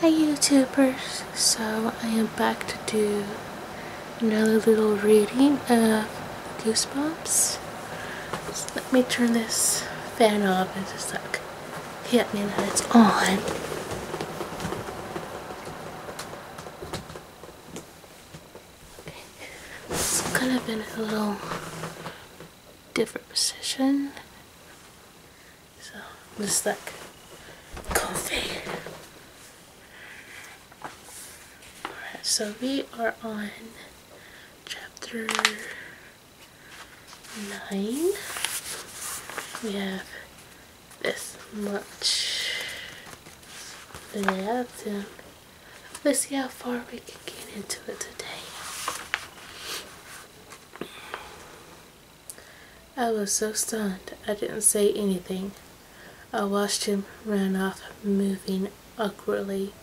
Hey YouTubers, so I am back to do another little reading of Goosebumps. let me turn this fan off and just like hit me that it's on. Okay. It's kind of in a little different position. So let's just coffee. Alright, so we are on chapter nine. We have this much left let's see how far we can get into it today. I was so stunned I didn't say anything. I watched him run off, moving awkwardly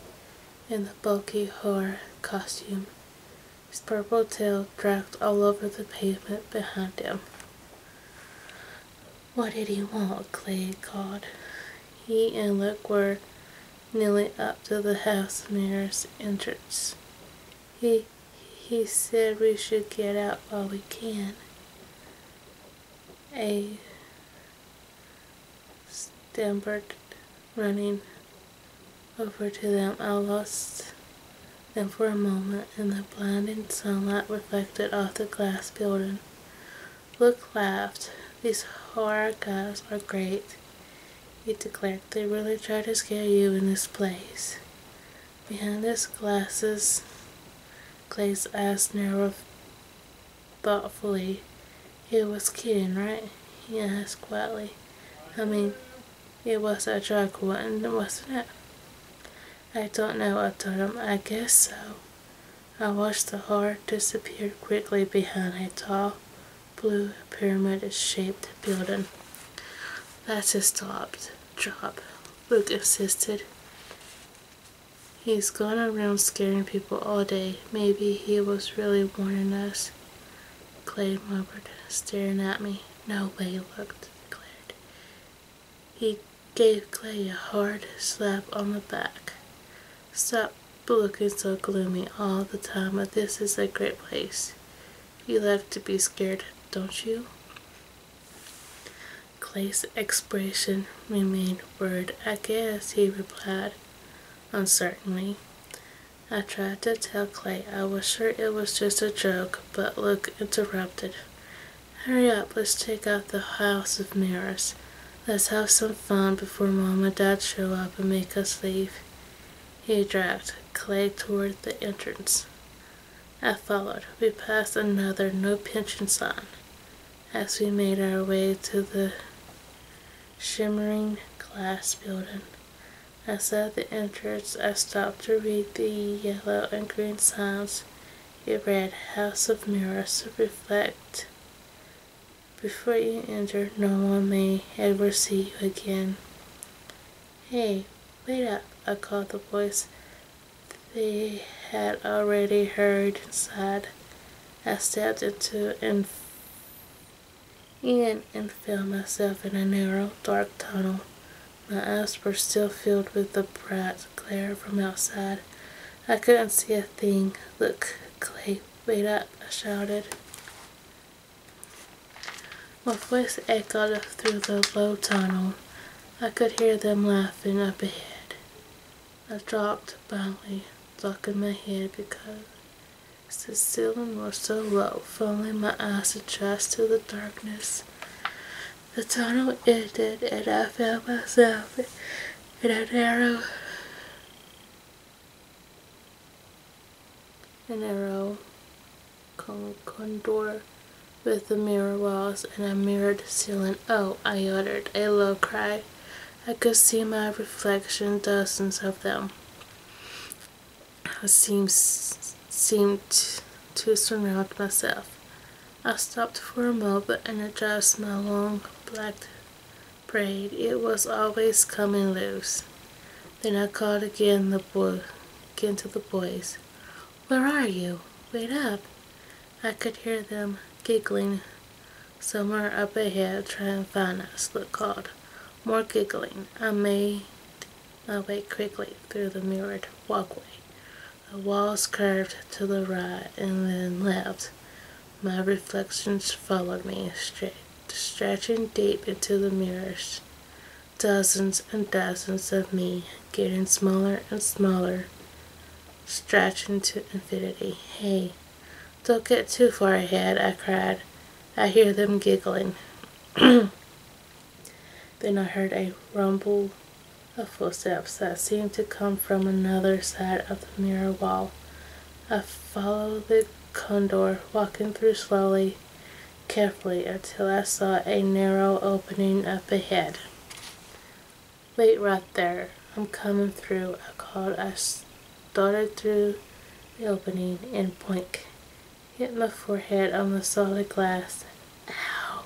in the bulky horror costume. His purple tail dragged all over the pavement behind him. What did he want? Clay called. He and Luke were kneeling up to the house mayor's entrance. He, he said we should get out while we can. A stammered running over to them. I lost them for a moment in the blinding sunlight reflected off the glass building. Luke laughed. These horror are great. He declared They really try to scare you in this place. Behind his glasses, Clay's asked narrowed thoughtfully. He was kidding, right? He asked quietly. I mean, it was a drug one, wasn't it? I don't know, I told him. I guess so. I watched the heart disappear quickly behind a tall, blue pyramid shaped building. That's his job. Luke insisted. He's gone around scaring people all day. Maybe he was really warning us. Clay muttered, staring at me. No way, looked declared. He gave Clay a hard slap on the back. Stop looking so gloomy all the time, but this is a great place. You love to be scared, don't you? Clay's expression remained worried. I guess, he replied uncertainly. I tried to tell Clay I was sure it was just a joke, but Luke interrupted. Hurry up, let's take out the house of mirrors. Let's have some fun before Mom and Dad show up and make us leave. He dragged Clay toward the entrance. I followed. We passed another no pension sign as we made our way to the shimmering glass building. as at the entrance, I stopped to read the yellow and green signs. It read House of Mirrors Reflect. Before you enter, no one may ever see you again. Hey, wait up, I called the voice they had already heard inside. I stepped into and in and found myself in a narrow, dark tunnel. My eyes were still filled with the bright glare from outside. I couldn't see a thing. Look, Clay, wait up, I shouted. My voice echoed through the low tunnel. I could hear them laughing up ahead. I dropped finally, ducking my head because the ceiling was so low. Finally, my eyes adjusted to the darkness. The tunnel ended, and I found myself in a narrow an arrow condor with the mirror walls and a mirrored ceiling. Oh, I uttered a low cry. I could see my reflection, dozens of them. I seemed, seemed to surround myself. I stopped for a moment and adjusted my long black braid. It was always coming loose. Then I called again to the boys. Where are you? Wait up. I could hear them giggling somewhere up ahead trying to find us, look called. More giggling. I made my way quickly through the mirrored walkway. The walls curved to the right and then left. My reflections followed me, stretching deep into the mirrors dozens and dozens of me getting smaller and smaller, stretching to infinity. Hey, don't get too far ahead, I cried. I hear them giggling. then I heard a rumble of footsteps that seemed to come from another side of the mirror wall. I followed the condor, walking through slowly, carefully until I saw a narrow opening up ahead. Wait right there. I'm coming through, I called. I started through the opening and blink. Hit my forehead on the solid glass. Ow!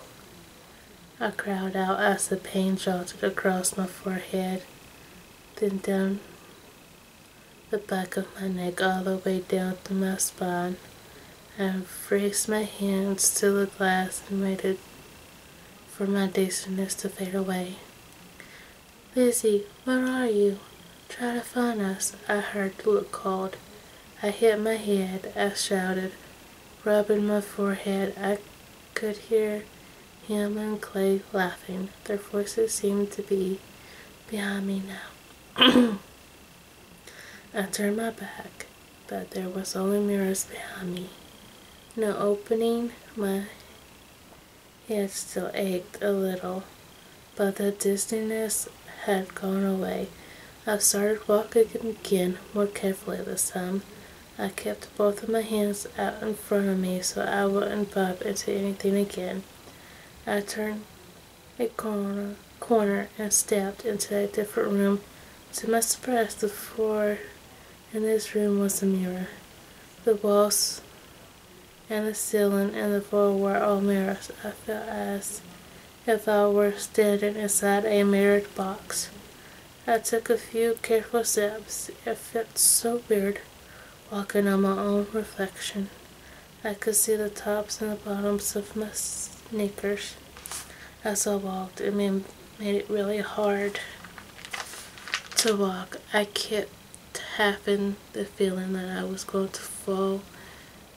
I cried out as the pain jolted across my forehead, then down the back of my neck all the way down to my spine. I raised my hands to the glass and waited for my dizziness to fade away. Lizzie, where are you? Try to find us, I heard Luke called. I hit my head, I shouted. Rubbing my forehead, I could hear him and Clay laughing. Their voices seemed to be behind me now. I turned my back, but there was only mirrors behind me. No opening, my head still ached a little, but the dizziness had gone away. I started walking again more carefully this time. I kept both of my hands out in front of me so I wouldn't bump into anything again. I turned a corner, corner and stepped into a different room. To my surprise, the floor in this room was a mirror. The walls and the ceiling and the floor were all mirrors. I felt as if I were standing inside a mirrored box. I took a few careful steps. It felt so weird walking on my own reflection. I could see the tops and the bottoms of my sneakers as I walked. It made, it really hard to walk. I kept having the feeling that I was going to fall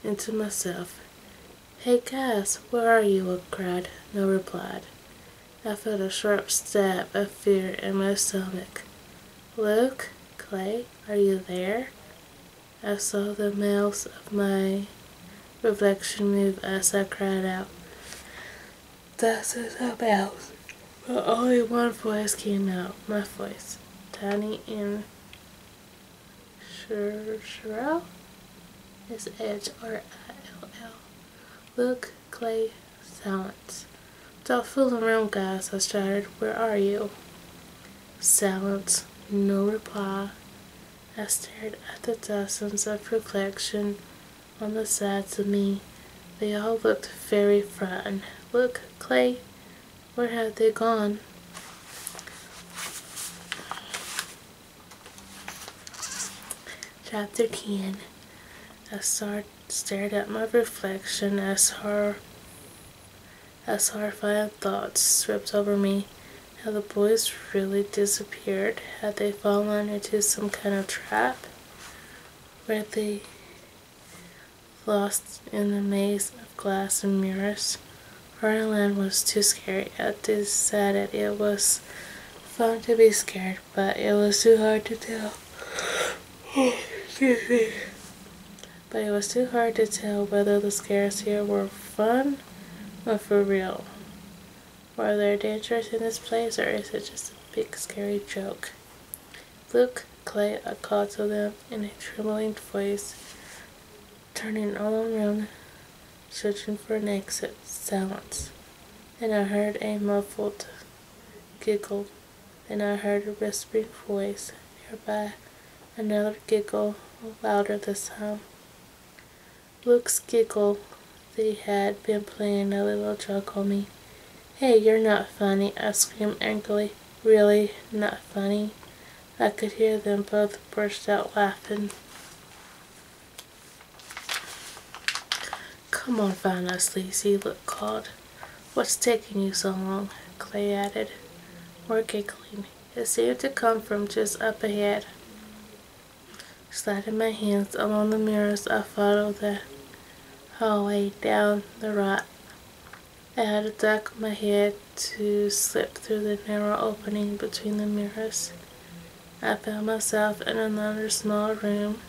into myself. Hey Cass, where are you? I cried. No reply. I felt a sharp stab of fear in my stomach. Luke? Clay? Are you there? I saw the mouths of my reflection move as I cried out. That's it about. But only one voice came out, my voice, tiny and Sherrill is H R I L L. Look, Clay, silence. Don't fool around, guys, I shouted. Where are you? Silence, no reply. I stared at the dozens of reflection on the sides of me. They all looked very frightened. Look, Clay, where have they gone? Chapter 10 I stared at my reflection as her as horrified thoughts swept over me. Had the boys really disappeared? Had they fallen into some kind of trap? Were they lost in the maze of glass and mirrors? Horrorland was too scared at this I decided it was fun to be scared, but it was too hard to tell. Excuse me but it was too hard to tell whether the scares here were fun or for real. Are there dangers in this place or is it just a big scary joke? Luke, Clay, I called to them in a trembling voice, turning all around, searching for an exit. Silence. and I heard a muffled giggle. and I heard a whispering voice nearby Another giggle, louder this time. Luke's giggle they had been playing a little joke on me. Hey, you're not funny, I screamed angrily. Really, not funny? I could hear them both burst out laughing. Come on, Vanna, sleazy, Luke called. What's taking you so long? Clay added. We're giggling. It seemed to come from just up ahead. Sliding my hands along the mirrors, I followed the hallway down the rock. I had to duck my head to slip through the narrow opening between the mirrors. I found myself in another small room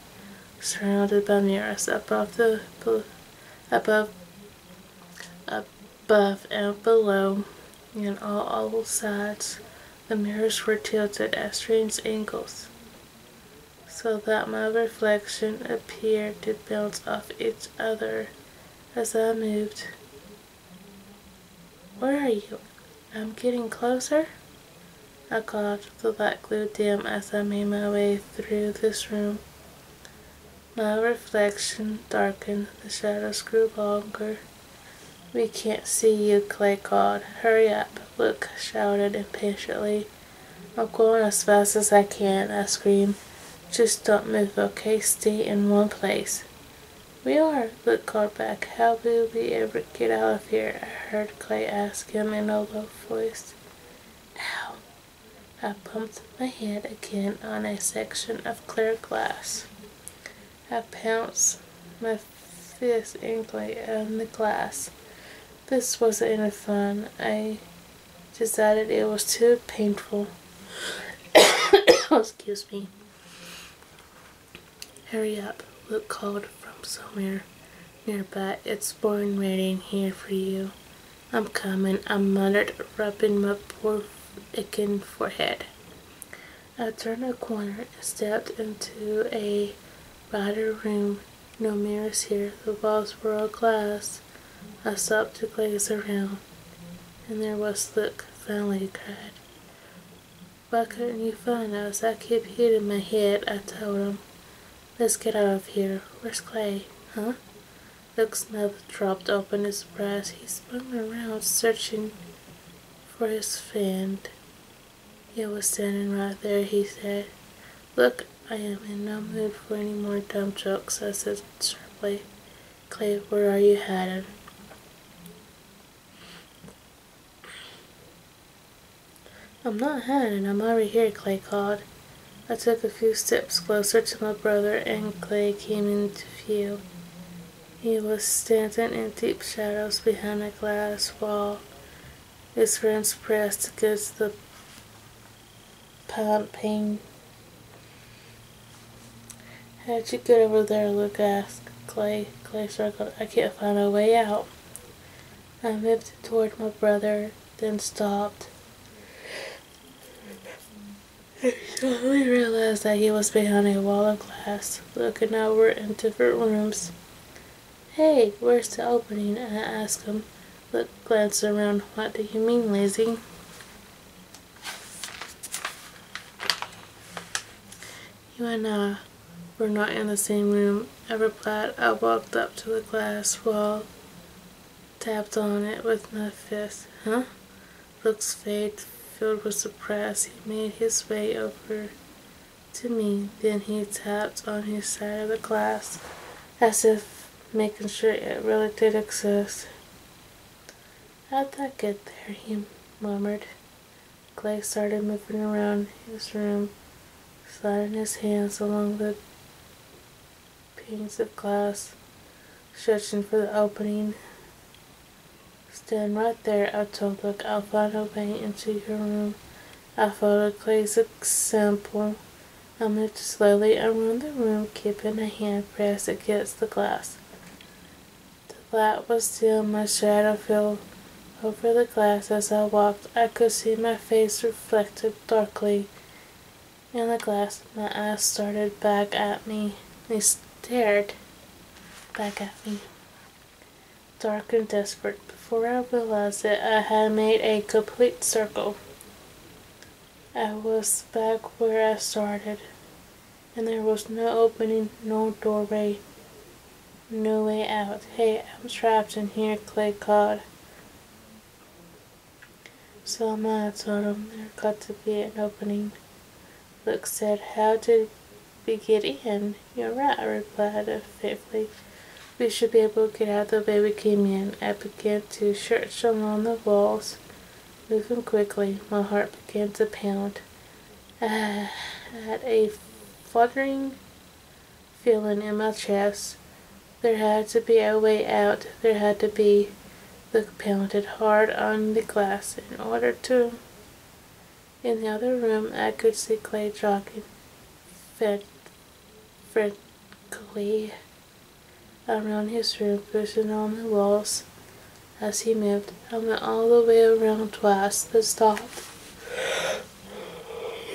surrounded by mirrors above the above up above and below and on all sides. The mirrors were tilted at strange angles so that my reflection appeared to bounce off each other as I moved. Where are you? I'm getting closer? I called, the light grew dim as I made my way through this room. My reflection darkened, the shadows grew longer. We can't see you, Clay called. Hurry up, Luke shouted impatiently. I'm going as fast as I can, I screamed. Just don't move, okay? Stay in one place. We are, Luke called back. How will we ever get out of here? I heard Clay ask him in a low voice. Ow, I pumped my hand again on a section of clear glass. I pounced my fist angrily on the glass. This wasn't any fun. I decided it was too painful. Excuse me. Hurry up, Luke called from somewhere nearby. It's boring waiting here for you. I'm coming, I muttered, rubbing my poor aching forehead. I turned a corner and stepped into a wider room. No mirrors here, the walls were all glass. I stopped to gaze around, and there was Luke, finally he cried. Why couldn't you find us? I kept hitting my head, I told him. Let's get out of here. Where's Clay? Huh? Luke's Smith dropped open his surprise. He spun around, searching for his friend. He was standing right there, he said. Look, I am in no mood for any more dumb jokes, I said sharply. Clay, where are you headed? I'm not hiding. I'm over here, Clay called. I took a few steps closer to my brother, and Clay came into view. He was standing in deep shadows behind a glass wall, his hands pressed against the palping. How'd you get over there? Luke asked. Clay, Clay struggled. I can't find a way out. I moved toward my brother, then stopped. I suddenly realized that he was behind a wall of glass, looking out into different rooms. Hey, where's the opening? I asked him, look, glanced around. What do you mean, lazy? You and I were not in the same room. I replied. I walked up to the glass wall, tapped on it with my fist. Huh? looks vague, filled with surprise. He made his way over to me. Then he tapped on his side of the glass as if making sure it really did exist. How'd that get there? He murmured. Clay started moving around his room, sliding his hands along the Panes of glass stretching for the opening. Stand right there, I told Look, I'll find no paint into your room. I followed Clay's example. I moved slowly around the room, keeping a hand pressed against the glass. The light was still, my shadow fell over the glass as I walked. I could see my face reflected darkly in the glass. My eyes started back at me. They stared back at me, dark and desperate. Before I realized it, I had made a complete circle. I was back where I started, and there was no opening, no doorway, no way out. Hey, I'm trapped in here, Clay Cod. So Selma told him there got to be an opening. Luke said, How did we get in? You're right, I replied uh, faintly. We should be able to get out the way we came in. I began to search along the walls, moving quickly. My heart began to pound. I had a fluttering feeling in my chest. There had to be a way out. There had to be Luke painted hard on the glass in order to. In the other room, I could see Clay jogging frantically around his room, pushing on the walls as he moved. I went all the way around twice, then stopped.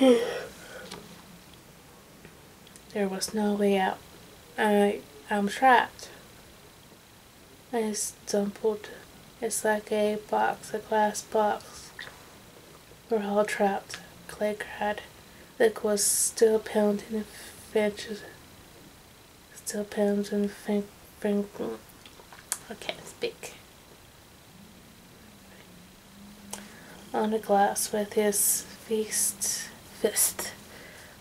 there was no way out. I, I'm trapped and it's dumpled. It's like a box, a glass box. We're all trapped. Clay cried. Lick was still pounding and fences. Still pounding and fin- fin- I can't speak. On the glass with his fist, fist.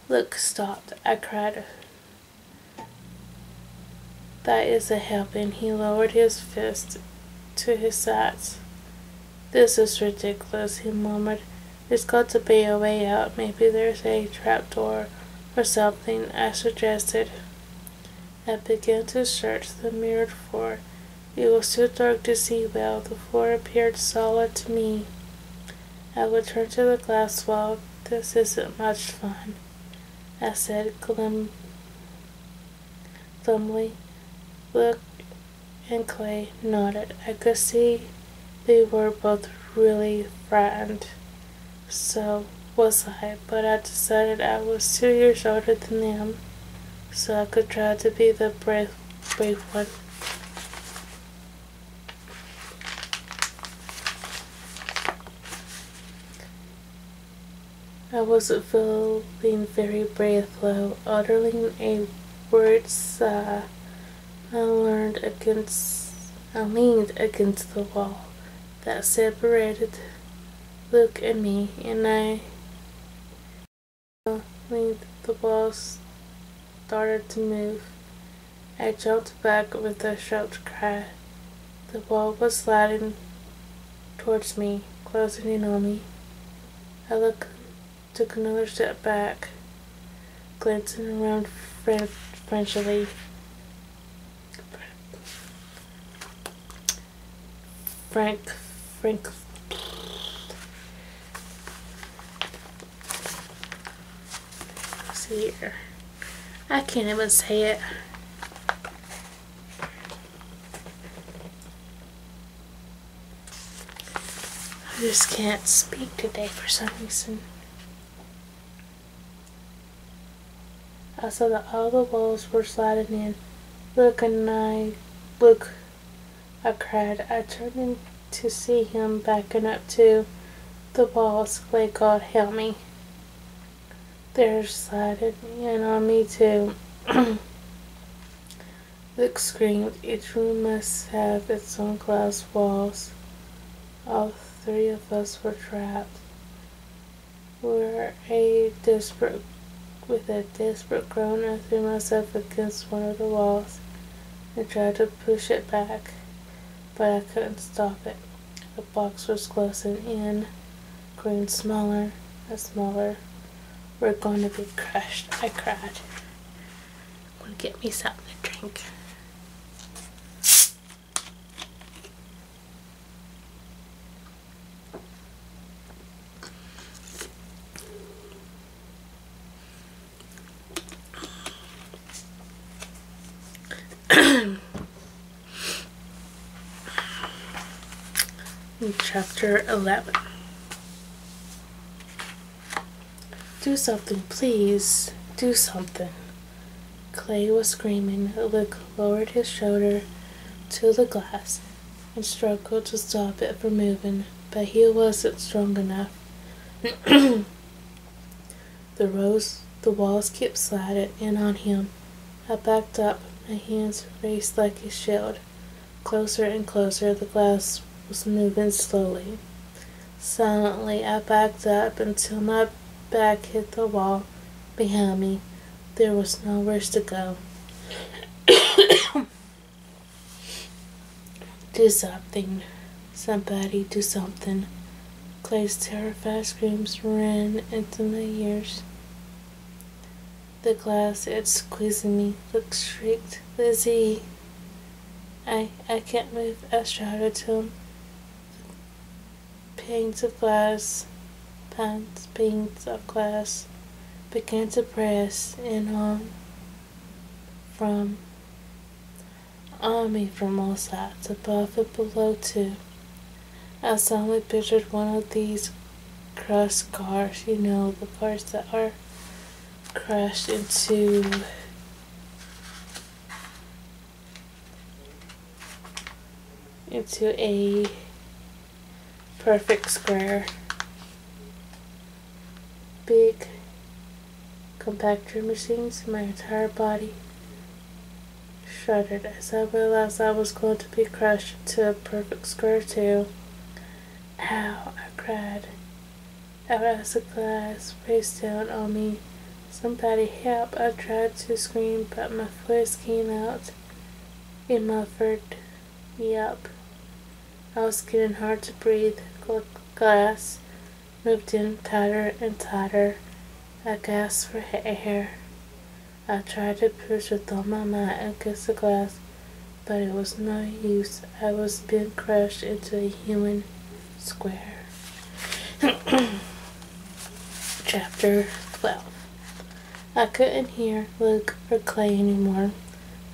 Look, stopped, I cried. That is a helping. He lowered his fist to his sides. This is ridiculous, he murmured. There's got to be a way out. Maybe there's a trap door or something, I suggested. I began to search the mirrored floor. It was too dark to see well. The floor appeared solid to me. I would turn to the glass wall. This isn't much fun, I said glumly. Look and Clay nodded. I could see they were both really frightened. So was I, but I decided I was two years older than them, so I could try to be the brave, brave one. I was not feeling very brave though, uttering a word uh, I learned against I leaned against the wall that separated Luke and me and I leaned the walls started to move. I jumped back with a shout cry. The wall was sliding towards me, closing in on me. I took another step back, glancing around fran- frantically. Frank, Frank, See here. I can't even say it. I just can't speak today for some reason. I saw that all the walls were sliding in. Look and I, look, I cried. I turned and to see him backing up to the walls. Like, God help me. There's are in on me too. Luke screamed, Each room must have its own glass walls. All three of us were trapped. we a desperate, with a desperate groan, I threw myself against one of the walls and tried to push it back but I couldn't stop it. The box was closing in, growing smaller and smaller. We're going to be crushed. I cried. I'm going to get me something to drink. Chapter 11 Do something, please. Do something. Clay was screaming. Luke lowered his shoulder to the glass and struggled to stop it from moving, but he wasn't strong enough. The rose the walls kept sliding in on him. I backed up, my hands raised like a shield. Closer and closer the glass was moving slowly. Silently I backed up until my back hit the wall behind me. There was nowhere to go. Do something. Somebody do something. Clay's terrified screams ran into my ears. The glass it's squeezing me. Look, shrieked Lizzie. I I can't move. I shouted to him. Panes of glass, panes, panes of glass, began to press in on from army from all sides, above and below too. I solemnly pictured one of these crushed cars, you know, the parts that are crushed into into a perfect square. Big compactor machines, my entire body shuddered as I realized I was going to be crushed to a perfect square too. Ow, I cried out as the glass face down on me. Somebody help! I tried to scream, but my voice came out in muffled yelp. I was getting hard to breathe. Glass moved in tighter and tighter. I gasped for air. I tried to push with all my might against the glass, but it was no use. I was being crushed into a human square. Chapter 12 I couldn't hear Luke or Clay anymore.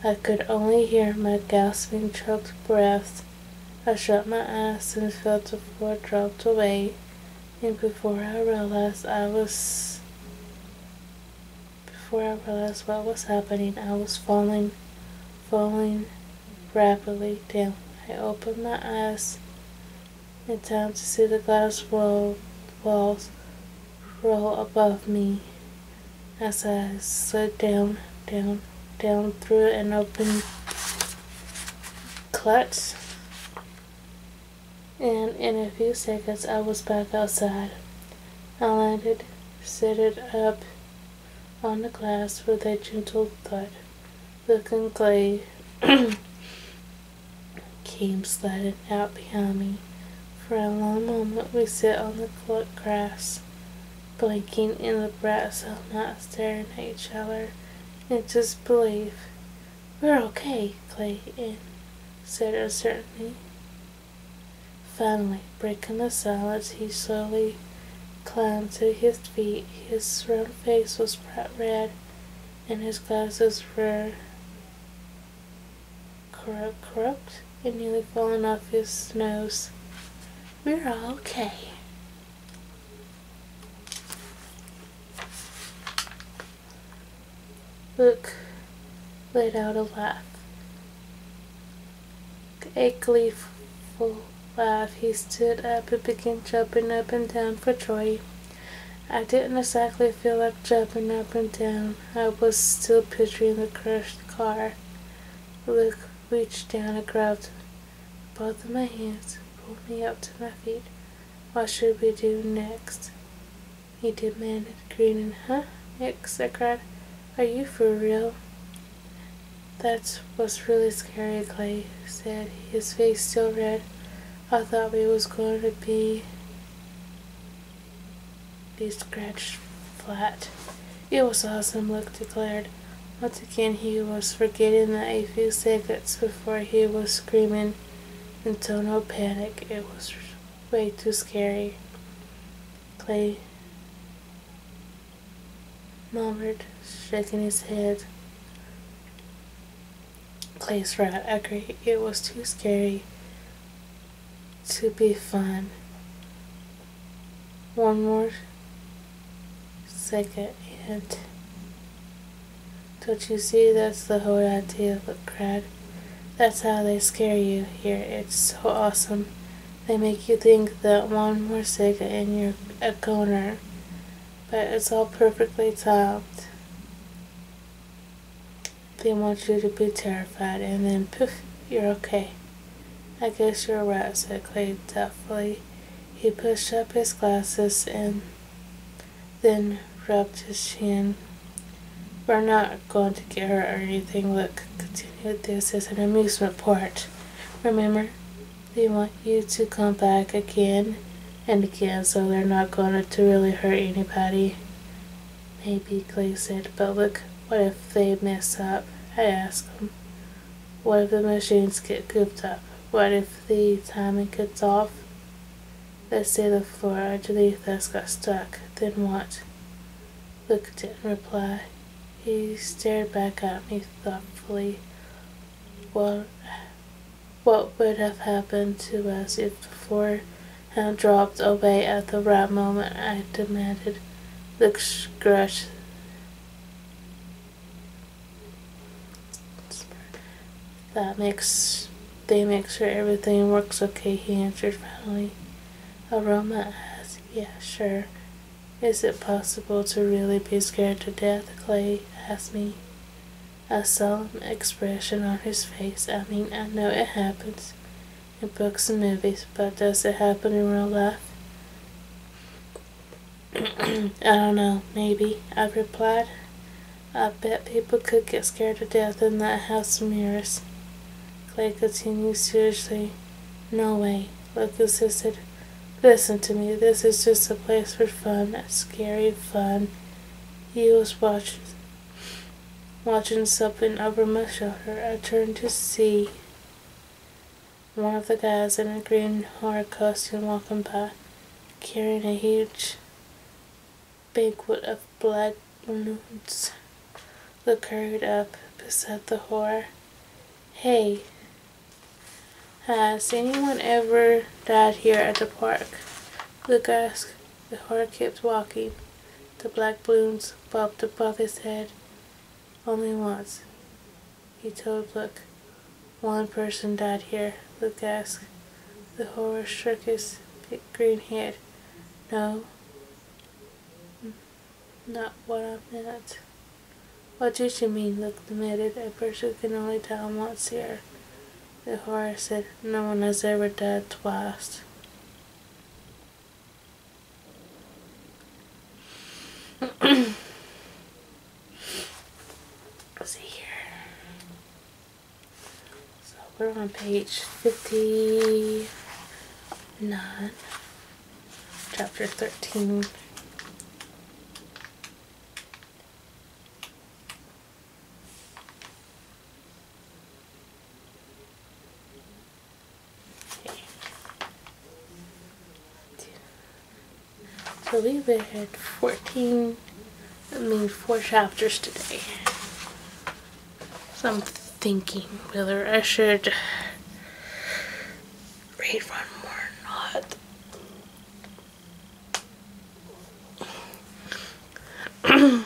I could only hear my gasping, choked breaths I shut my eyes and felt the floor drop away, and before I realized I was before I realized what was happening, I was falling, falling rapidly down. I opened my eyes in time to see the glass wall, walls roll above me as I slid down, down, down through an open clutch and in a few seconds I was back outside. I landed, it up on the glass with a gentle thud. The conclave came sliding out behind me. For a long moment we sat on the grass, blinking in the brass of not staring at each other and just believe. We're okay, Clayton, said uncertainly. Finally, breaking the silence, he slowly climbed to his feet. His round face was red, and his glasses were crooked, and nearly falling off his nose. We're all okay, Look, let out a laugh. A gleeful laugh, he stood up and began jumping up and down for joy. I didn't exactly feel like jumping up and down. I was still picturing the crushed car. Look, reached down and grabbed both of my hands pulled me up to my feet. What should we do next? He demanded, grinning. Huh, Nix, I cried. Are you for real? That was really scary, Clay said, his face still red. I thought we was going to be... be scratched flat. It was awesome, Luke declared. Once again, he was forgetting that a few seconds before he was screaming into no panic. It was way too scary. Clay murmured, shaking his head. Clay's right, I agree. It was too scary to be fun one more second and don't you see that's the whole idea of a crowd that's how they scare you here it's so awesome they make you think that one more second and you're a corner, but it's all perfectly timed they want you to be terrified and then poof you're okay I guess you're right, said Clay doubtfully. He pushed up his glasses and then rubbed his chin. We're not going to get hurt or anything. Look, continued, this is an amusement park. Remember, they want you to come back again and again, so they're not going to really hurt anybody. Maybe, Clay said, but look, what if they mess up? I asked him. What if the machines get cooped up? What if the timing gets off? Let's say the floor underneath us got stuck. Then what? Luke didn't reply. He stared back at me thoughtfully. Well, what would have happened to us if the floor had dropped away at the right moment? I demanded. Luke scratched that makes they make sure everything works okay, he answered finally. Aroma asked, Yeah, sure. Is it possible to really be scared to death? Clay asked me. A solemn expression on his face. I mean, I know it happens in books and movies, but does it happen in real life? I don't know, maybe, I replied. I bet people could get scared to death in that house of Clay continued seriously. No way, Luke insisted. Listen to me, this is just a place for fun, scary fun. He was watching, watching something over my shoulder. I turned to see one of the guys in a green horror costume walking by, carrying a huge banquet of black balloons. Look hurried up beside the horror. Hey, has anyone ever died here at the park? The guy asked. The horror kept walking. The black balloons bobbed above his head. Only once. He told Look. One person died here, Look asked. The horror shook his big green head. No, not what I meant. What did you mean? Look admitted. A person can only die once here. The horror said, No one has ever died twice. see here. So we're on page 59, chapter 13. So we had 14, I mean four chapters today. So I'm thinking whether I should read one more or not.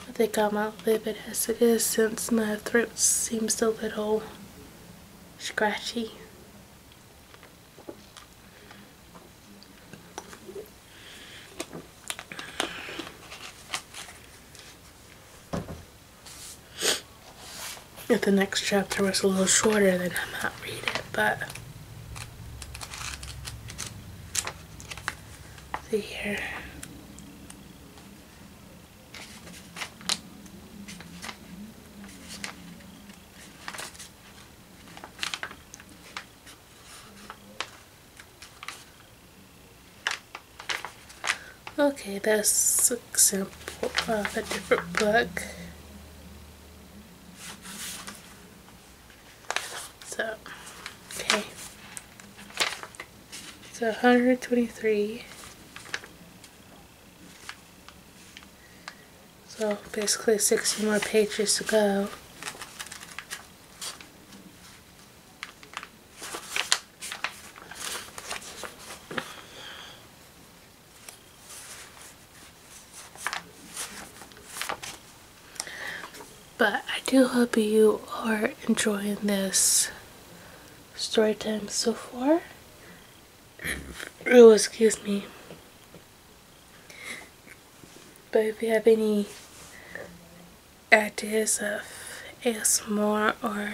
I think I might leave it as it is since my throat seems a little scratchy. If the next chapter was a little shorter, then I might read it, but see here. Okay, that's an example of a different book. So, okay. So 123 so basically 60 more pages to go. But I do hope you are enjoying this story time so far Oh, excuse me. But if you have any ideas of more or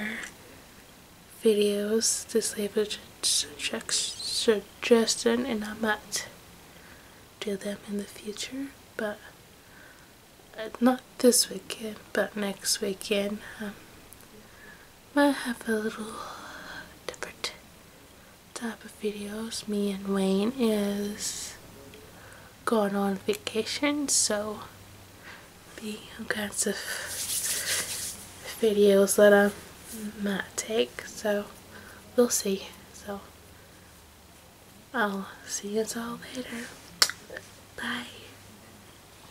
videos, to leave a suggestion and I might do them in the future. But uh, not this weekend, but next weekend. Um, I have a little different type of videos. Me and Wayne is going on vacation, so be all kinds of videos that I might take. So we'll see. So I'll see you all later. Bye.